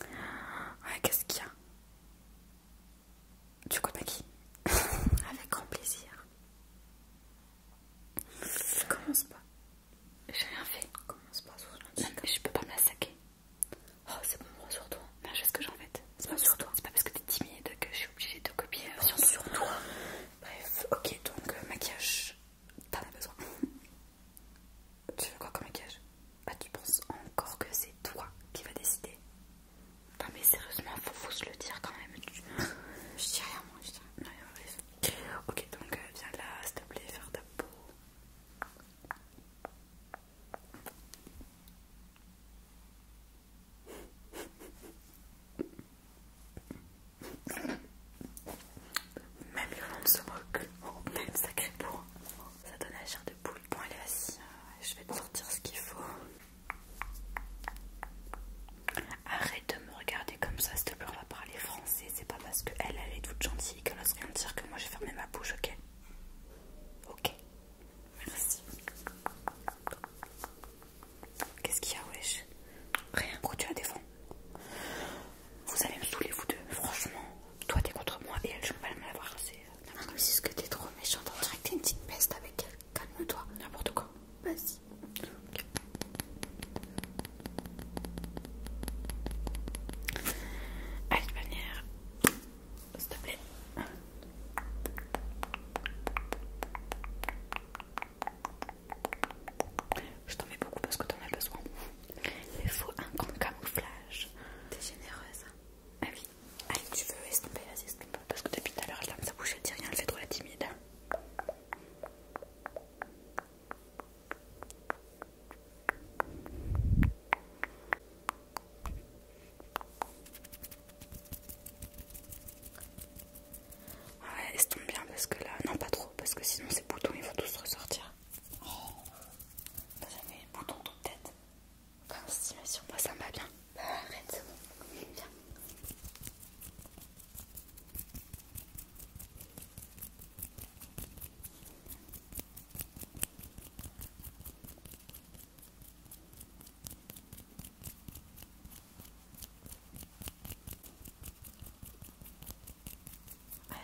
Ouais, qu'est-ce qu'il y a Du coup, maquille Avec grand plaisir. commence pas. J'ai rien fait. commence pas Je peux pas me la saquer. Oh, c'est bon, moi sur toi. ce que j'en C'est pas sur toi. C'est pas parce que t'es timide que je suis obligée de copier euh, sur, toi. Bref, ok, donc euh, maquillage, t'en as besoin. Tu veux quoi comme maquillage Bah tu penses encore que c'est toi qui va décider Non, mais sérieusement, faut, se le dire quand même. je dis rien, moi, je dis rien. Ok, donc euh, viens là, s'il te plaît, faire ta peau. Même le se moquent, Même oh, a ça donne la chair de poule. Bon, allez, est y hein. je vais te sortir ce qu'il faut. Arrête de me regarder comme ça, s'il te plaît, on va parler français. C'est pas parce qu'elle, elle est toute gentille qu'elle ose rien dire que moi j'ai fermé ma bouche, ok Ok, merci. Qu'est-ce qu'il y a, wesh Rien. Pourquoi tu as des défends vous allez me saouler, vous deux. Franchement, toi t'es contre moi et elle, je peux pas me voir. C'est comme euh, si ah, C'est ce que t'es trop méchant. On dirait que t'es une petite peste avec elle. Calme-toi. N'importe quoi. Vas-y. Allez, de S'il te plaît. Je t'en mets beaucoup parce que t'en as besoin. Il faut un grand camouflage. T'es généreuse. Ah oui. Allez, tu veux estomper, vas-y, Parce que depuis tout à l'heure, elle ferme sa bouche, elle dit rien, elle fait trop la timide. Ouais, estompe bien parce que là, non pas trop, parce que sinon ces boutons ils vont tous ressortir. Oh, t'as jamais bouton boutons de tête Comme si, mais sur moi ça m'a bien. Bah, arrête, Viens.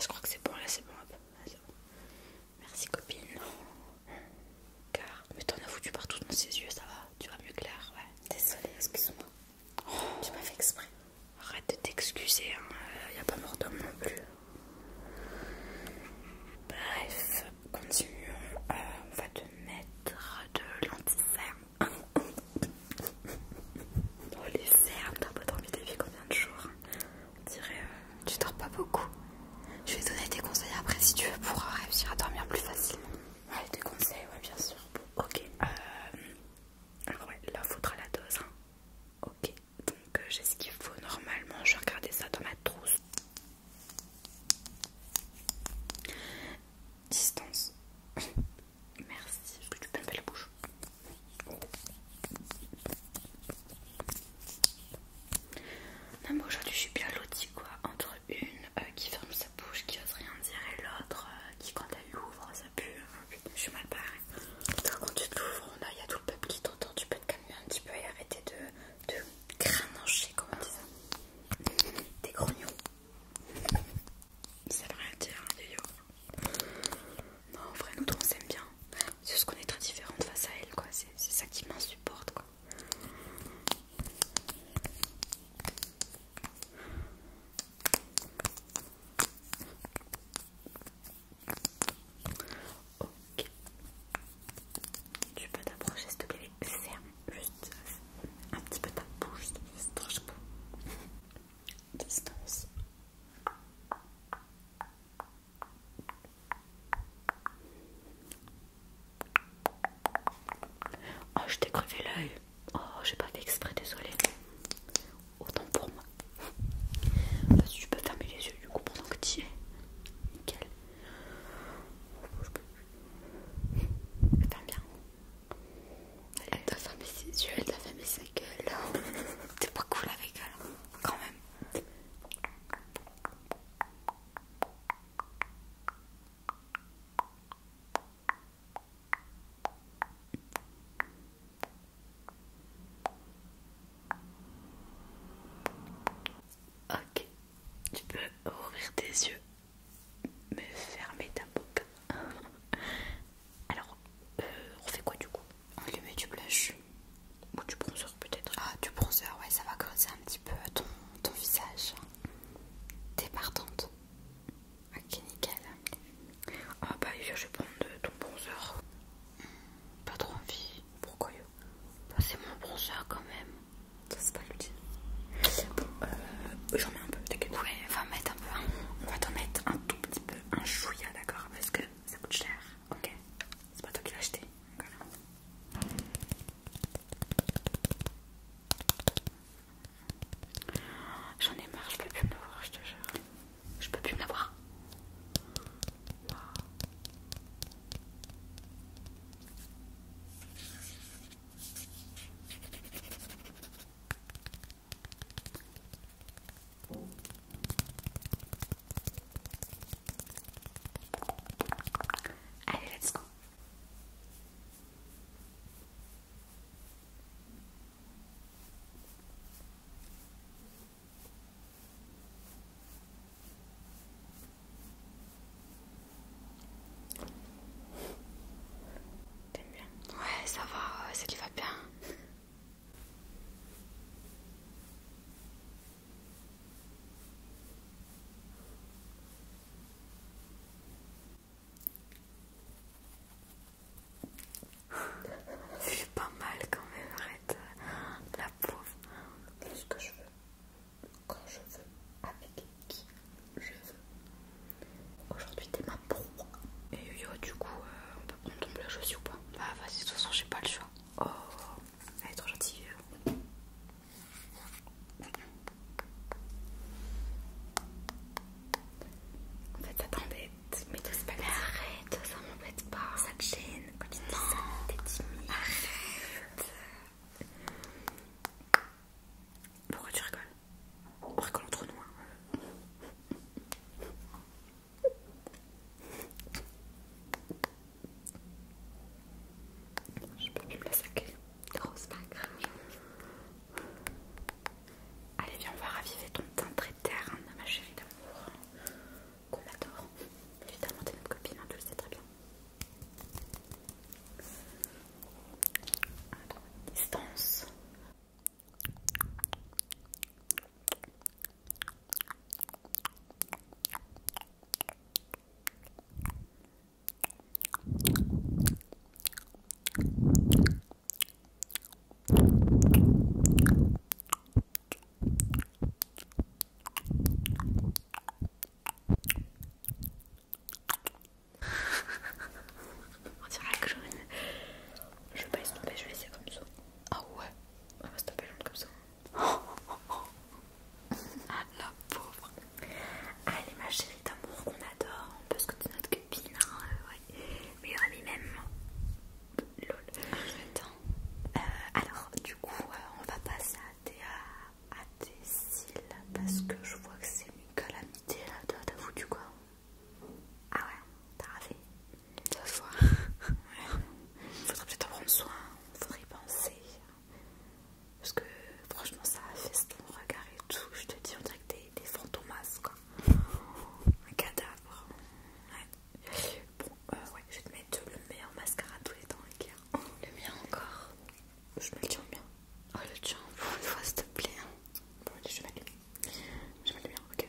je crois que c'est bon, là c'est bon, bon. Merci copine. Car, mais t'en as foutu partout dans ses yeux, ça va Tu vas mieux clair ouais. Désolée, excuse-moi. Oh. Tu m'as fait exprès. Arrête de t'excuser, il hein. n'y euh, a pas mort d'homme non plus. Bref, continuons. Euh, on va te mettre de lanti Oh les fermes, t'as pas envie d'y combien de jours tu euh, Tu dors pas beaucoup. Je vais te donner des conseils après si tu veux pour réussir à dormir plus facilement. Ouais, des conseils, ouais, bien sûr. Ok. Euh, alors ouais, là, faudra la dose. Hein. Ok. Donc euh, j'ai ce qu'il faut normalement. Je vais regarder ça dans ma trousse. Distance. Merci, je que tu peux la bouche. Non mais aujourd'hui je suis bien lotie quoi, entre une euh, qui ferme sa bouche, qui ose rien dire et l'autre euh, qui quand elle l'ouvre ça pue, hein. je suis mal parée quand tu te l'ouvres, il y a tout le peuple qui t'entend, tu peux te calmer un petit peu et arrêter de, de comme on ça. Des grognons. Ça veut rien dire, hein, non, en vrai, nous deux on s'aime bien. C'est ce qu'on est très différente face à elle, quoi. C'est ça qui m'insupporte, quoi. Ok. Tu peux t'approcher, s'il te plaît. Ferme juste un petit peu ta bouche. Distance. Oh, je t'ai crevé l'œil. Oh, j'ai pas fait exprès, désolé. Autant pour moi. Tu peux fermer les yeux du coup pendant que tu es. Nickel. Je bien. Elle t'a fermé ses yeux, elle t'a fermé sa gueule. T'es pas cool avec elle, hein. quand même. Ok, tu peux ouvrir tes yeux, mais fermer ta boucle. Alors, euh, on fait quoi du coup On lui met du blush ou du bronzer peut-être. Ah, du bronzer, ouais, ça va creuser un petit peu ton, ton visage. T'es partante. Ok, nickel. Ah bah je vais prendre ton bronzer. Hmm, pas trop envie. Pourquoi bah, C'est mon bronzer quand même. Ça c'est pas utile Bon, euh, j'en mets un peu, t'inquiète. Ouais, va mettre un peu. On va t'en mettre un tout petit peu, un chouïa, d'accord Parce que ça coûte cher. Ok, c'est pas toi qui l'as acheté. J'en ai marre, je peux plus me voir, je te jure. Je peux plus me voir Wow. Allez, let's go. T'aimes bien Ouais, ça va, euh, ça lui va bien. Je suis pas mal quand même, arrête. La pauvre. Qu'est-ce que je veux Quand je veux, avec qui je veux. Aujourd'hui, t'es ma pro. Et Yo, du coup, euh, on peut prendre ton blush aussi ou pas Bah, vas-y, de toute façon, j'ai pas le choix. Oh, elle est trop gentille. En fait, ça t'embête. Mais t'oses pas Mais arrête, ça m'embête pas. Ça te gêne. Quand tu ça, Arrête. Pourquoi tu rigoles On rigole entre nous. Hein. Je pas plus me la saquer. Rose magre. Allez, viens, on va raviver ton teint très terne, hein, ma chérie d'amour. Qu'on adore. Évidemment, t'es notre copine, hein, tu le sais très bien. distance. On dirait que je, pas passe, je vais laisser comme ça. Ah ouais va ah, va taper taper longue comme ça. ah la pauvre. est ma chérie d'amour qu'on adore, on peut se es notre copine, hein, euh, ouais. Mais on même. Lol. Hein. Euh, alors du coup euh, on va passer à tes, à, Thécil, parce que je vois que c'est une calamité là, t'as foutu quoi ah ouais, t'as raté. Deux fois. Faudrait peut-être en prendre soin, faudrait y penser. Parce que franchement, ça affaisse ton regard et tout. Je te dis, on dirait que t'es des fantomas Un cadavre. Ouais. Bon, euh, ouais, je vais te mettre le meilleur mascara de tous les temps, le mien encore. Je me le tiens bien Oh, le tien, une fois, s'il te plaît. Bon, je vais le Je vais le ok.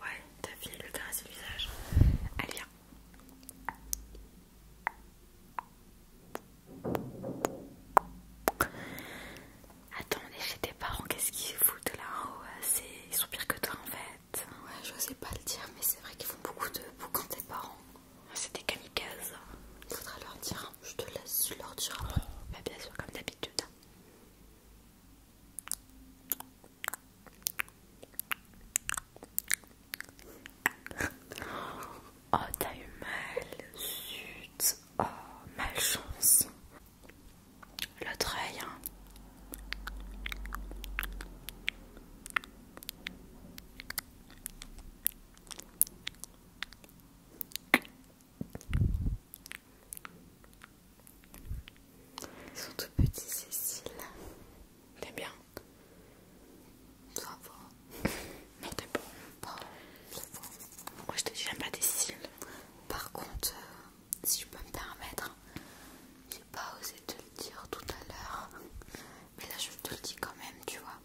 Ouais, t'as fini le faire à le visage. Allez, viens. Attends, on chez tes parents, qu'est-ce qu'ils foutent là en haut hein? Ils sont pires que toi en fait. Ouais, je sais pas le dire, mais c'est vrai qu'ils font beaucoup de boucans, tes parents. C'était des il Faudra leur dire, hein. je te laisse leur dire. Bah, bien sûr, comme d'habitude. Oh, t'as eu mal, sud, Oh, malchance. le trail. Hein. Ils sont tout petits, Cécile. T'es bien Ça va. non, t'es bon. Bon, Moi, je te dis, j'aime pas cils. Par contre, euh, si je peux me permettre, j'ai pas osé te le dire tout à l'heure. Mais là, je te le dis quand même, tu vois.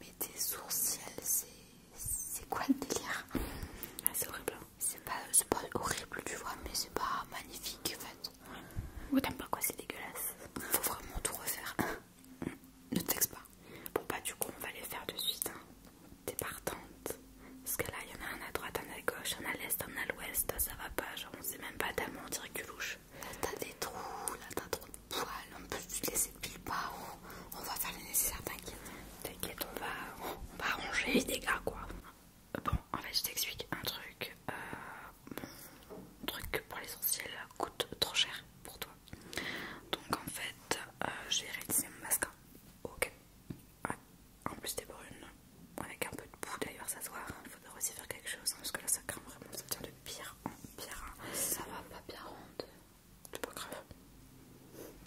Mais tes sourcils, c'est. C'est quoi le délire ah, C'est horrible. C'est pas, pas horrible, tu vois, mais c'est pas magnifique en fait. Ouais, t'aimes pas quoi, c'est dégueulasse. Faut vraiment tout refaire. ne te pas. Bon, bah, du coup, on va les faire de suite. Hein. T'es partante. Parce que là, il y en a un à droite, un à gauche, un à l'est, un à l'ouest. Ah, ça va pas, genre, on sait même pas tellement, on dirait que louche. Là, t'as des trous, là, t'as trop de poils. On peut se laisser pile pas. On, va faire le nécessaire, t'inquiète. T'inquiète, on va, on va ranger les dégâts, quoi. Bon, en fait, je t'explique un truc. un euh, truc pour l'essentiel coûte trop cher pour toi. Donc, en fait, euh, je vais réalisé mon mascara. Hein. Ok. En plus, t'es brune. Avec un peu de boue d'ailleurs, ça se voit. Il hein. faudra aussi faire quelque chose. Hein, parce que là, ça crame vraiment. Ça tient de pire en pire. Ça va pas bien ronde. C'est pas grave.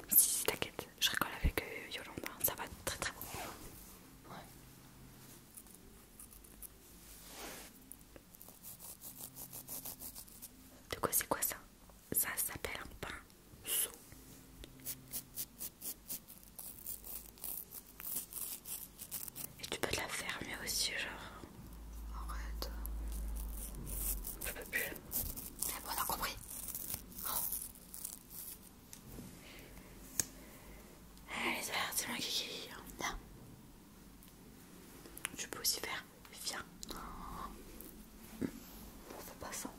Si, si, t'inquiète. Je rigole avec euh, Yolanda. Ça va très très bien. Ouais. De quoi c'est quoi ça Ça s'appelle un pinceau. Et tu peux te la mieux aussi, genre. Arrête. Je peux plus. Mais eh, bon, on a compris. Oh. Allez, c'est moi qui Viens. tu peux aussi faire. Viens. Non, fait pas ça. Hein.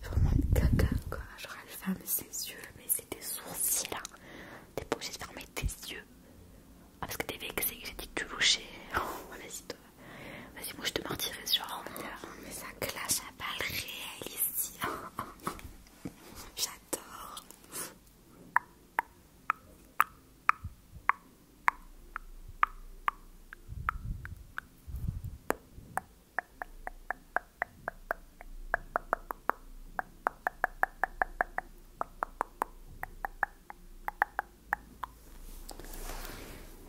C'est vraiment une caca quoi, genre elle ferme ses yeux, mais c'est des sourcils là. T'es pas obligé de fermer tes yeux. Ah parce que t'es vexé que j'ai dit que tu louchais. Oh, vas-y toi. Vas-y moi je te mentirais sur euh, oh, mais ça clash à balles réelle ici. J'adore.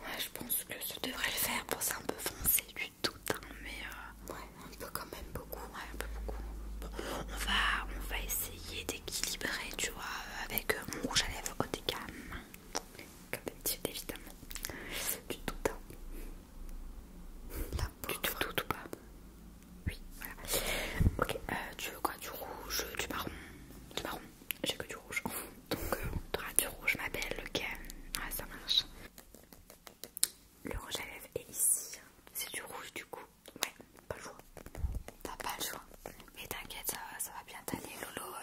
Ah, je pense que je devrais le faire pour un peu foncé, tout un, hein, mais. Euh, un peu quand même beaucoup. un peu beaucoup. on va, on va essayer d'équilibrer, tu vois, avec euh, mon rouge à lèvres haut de gamme. Comme d'habitude, évidemment. Du tout, hein. du tout, tout, pas. Oui, voilà. Ok, euh, tu veux quoi Du rouge, du marron Du marron J'ai que du rouge. Donc, tu on du rouge, ma belle. Ok, ouais, ça marche. Le rouge à lèvres est ici. Hein. C'est du rouge du coup. Ouais, pas le choix. T'as pas le choix. Mais t'inquiète, ça, va bien t'aller. Lolo, euh,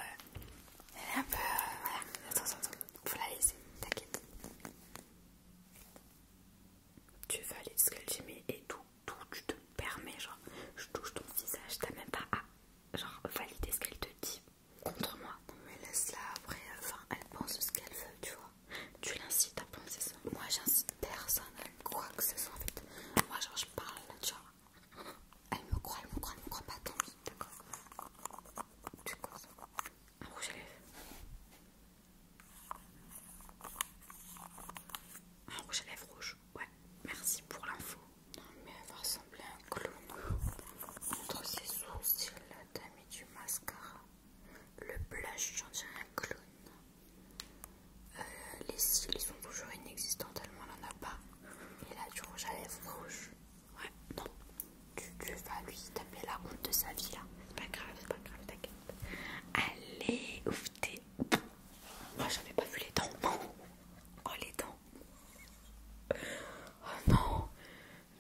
elle est un peu... Euh, voilà, attends, attends, attends. Faut la laisser, t'inquiète. Tu valides ce qu'elle j'ai mis et tout, tout, tu te permets, genre, je touche ton visage, t'as même pas à, genre, valider ce qu'elle te dit contre moi. mais laisse-la après, enfin, elle pense ce qu'elle veut, tu vois tu l'incites à penser ça. Moi j'incite personne à croire que c'est ça en fait. Moi genre je parle, tu vois. Elle me croit, elle me croit, elle me croit pas, tant pis, d'accord Tu crois ça Un rouge à lèvres. Un rouge à lèvres rouge, ouais. Merci pour l'info. Non mais elle va ressembler à un clown. Entre ses sourcils, t'as mis du mascara. Le blush, j'en dirais un clown. les cils sont toujours inexistants tellement on n'en a pas. Et là, du rouge à lèvres rouge. Ouais, non. Tu, vas lui taper la honte de sa vie là. C'est pas grave, c'est pas grave, t'inquiète. Allez, ouf, t'es. Moi, j'avais pas vu les dents. Oh, les dents. Oh non,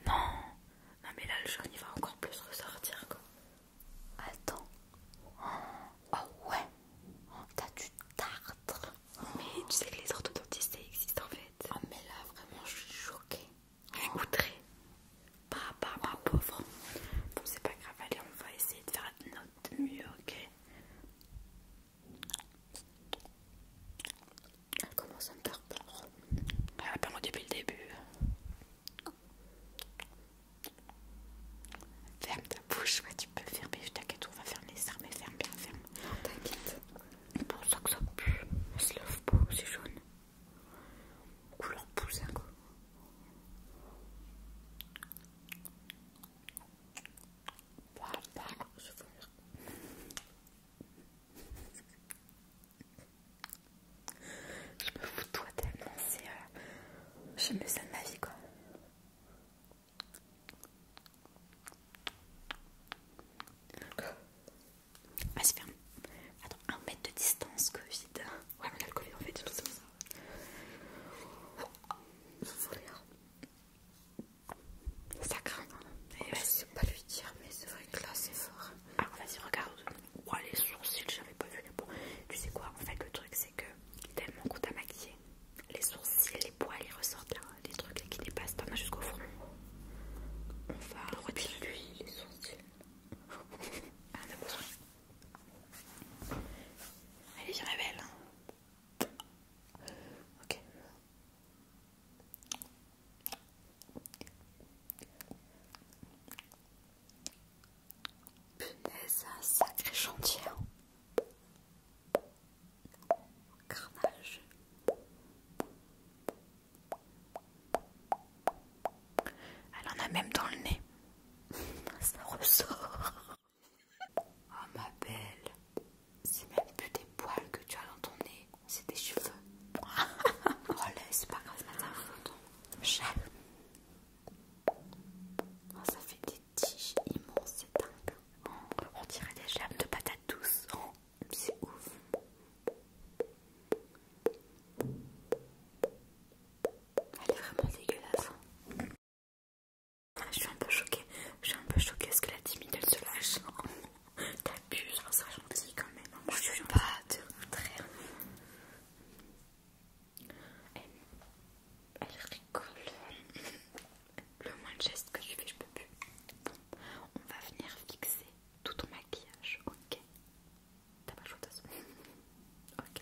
non, non mais là le jaune il va encore plus ressortir quoi. Attends. Oh ouais, t'as du tartre. Mais tu sais que les orthodontistes existent en fait. Ah mais là vraiment je suis choquée. Par rapport à ma pauvre. Bon c'est pas grave, allez on va essayer de faire notre mieux, ok elle ah, commence à me ah, Elle a depuis le début. Ferme ta bouche, tu peux fermer, je t'inquiète, on va fermer ça, mais ferme bien, ferme. Non, t'inquiète. Pour ça que ça pue, elle se lave pas, c'est jaune. Couleur poussin, quoi. Voilà, je vais je me fous de toi tellement, c'est. Euh, je me sens de ma vie quoi. Vas-y, ah, ferme. Attends, un mètre de distance, Covid. Ouais, mais on le Covid en fait, tout ça. Ça craint. Hein. je sais pas lui dire, mais c'est vrai que là c'est fort. Alors vas-y regarde. Oh les sourcils, j'avais pas vu. Bon, tu sais quoi En fait le truc c'est que tellement qu'on t'a maquillé, les sourcils, les poils, ils ressortent là, les trucs qui dépassent. pas mal jusqu'au front. On va retirer lui les sourcils. Ah, Allez, je révèle. Hein. Ok. Punaise, un sacré chantier. Hein. Carnage. Elle en a même dans le nez. Ça ressort. Oh ma belle, c'est même plus des poils que tu as dans ton nez c'est des cheveux. oh là, c'est pas grave, ce oh, ça fait des tiges immenses, c'est dingue. on dirait des jambes de patates douces. c'est ouf. Elle est vraiment dégueulasse. Hein. je suis un peu choquée. Je suis un peu choquée Est-ce que la timide elle se lâche. T'as pu, ça sois gentil quand même. Hein. Je suis pas de contraire. Elle, rigole. Le moins de geste que je fais, je peux plus. on va venir fixer tout ton maquillage, ok T'as pas le choix de façon. Ok.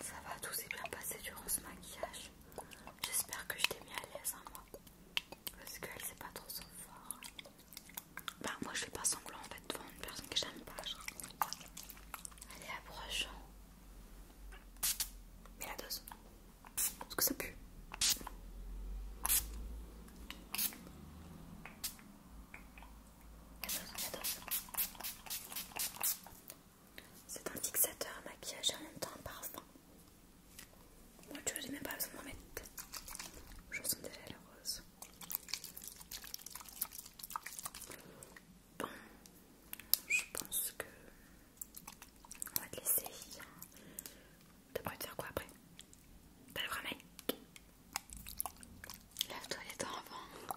Ça va, tout s'est bien passé durant ce maquillage. J'espère que je t'ai mis à l'aise, en hein, moi. Parce qu'elle sait pas trop son fort. Bah, moi je fais pas semblant en fait devant une personne que j'aime pas. Genre. Allez, approche. Mais la dose. Est-ce que ça pue. La dose, la dose. C'est un fixateur maquillage à en même temps parfum. Moi, tu vois, j'ai même pas besoin de m'en mettre. Je sens déjà la rose. Bon, je pense que. On va te laisser. T'as prévu de faire quoi après T'as le vrai mec lève toi les dents avant.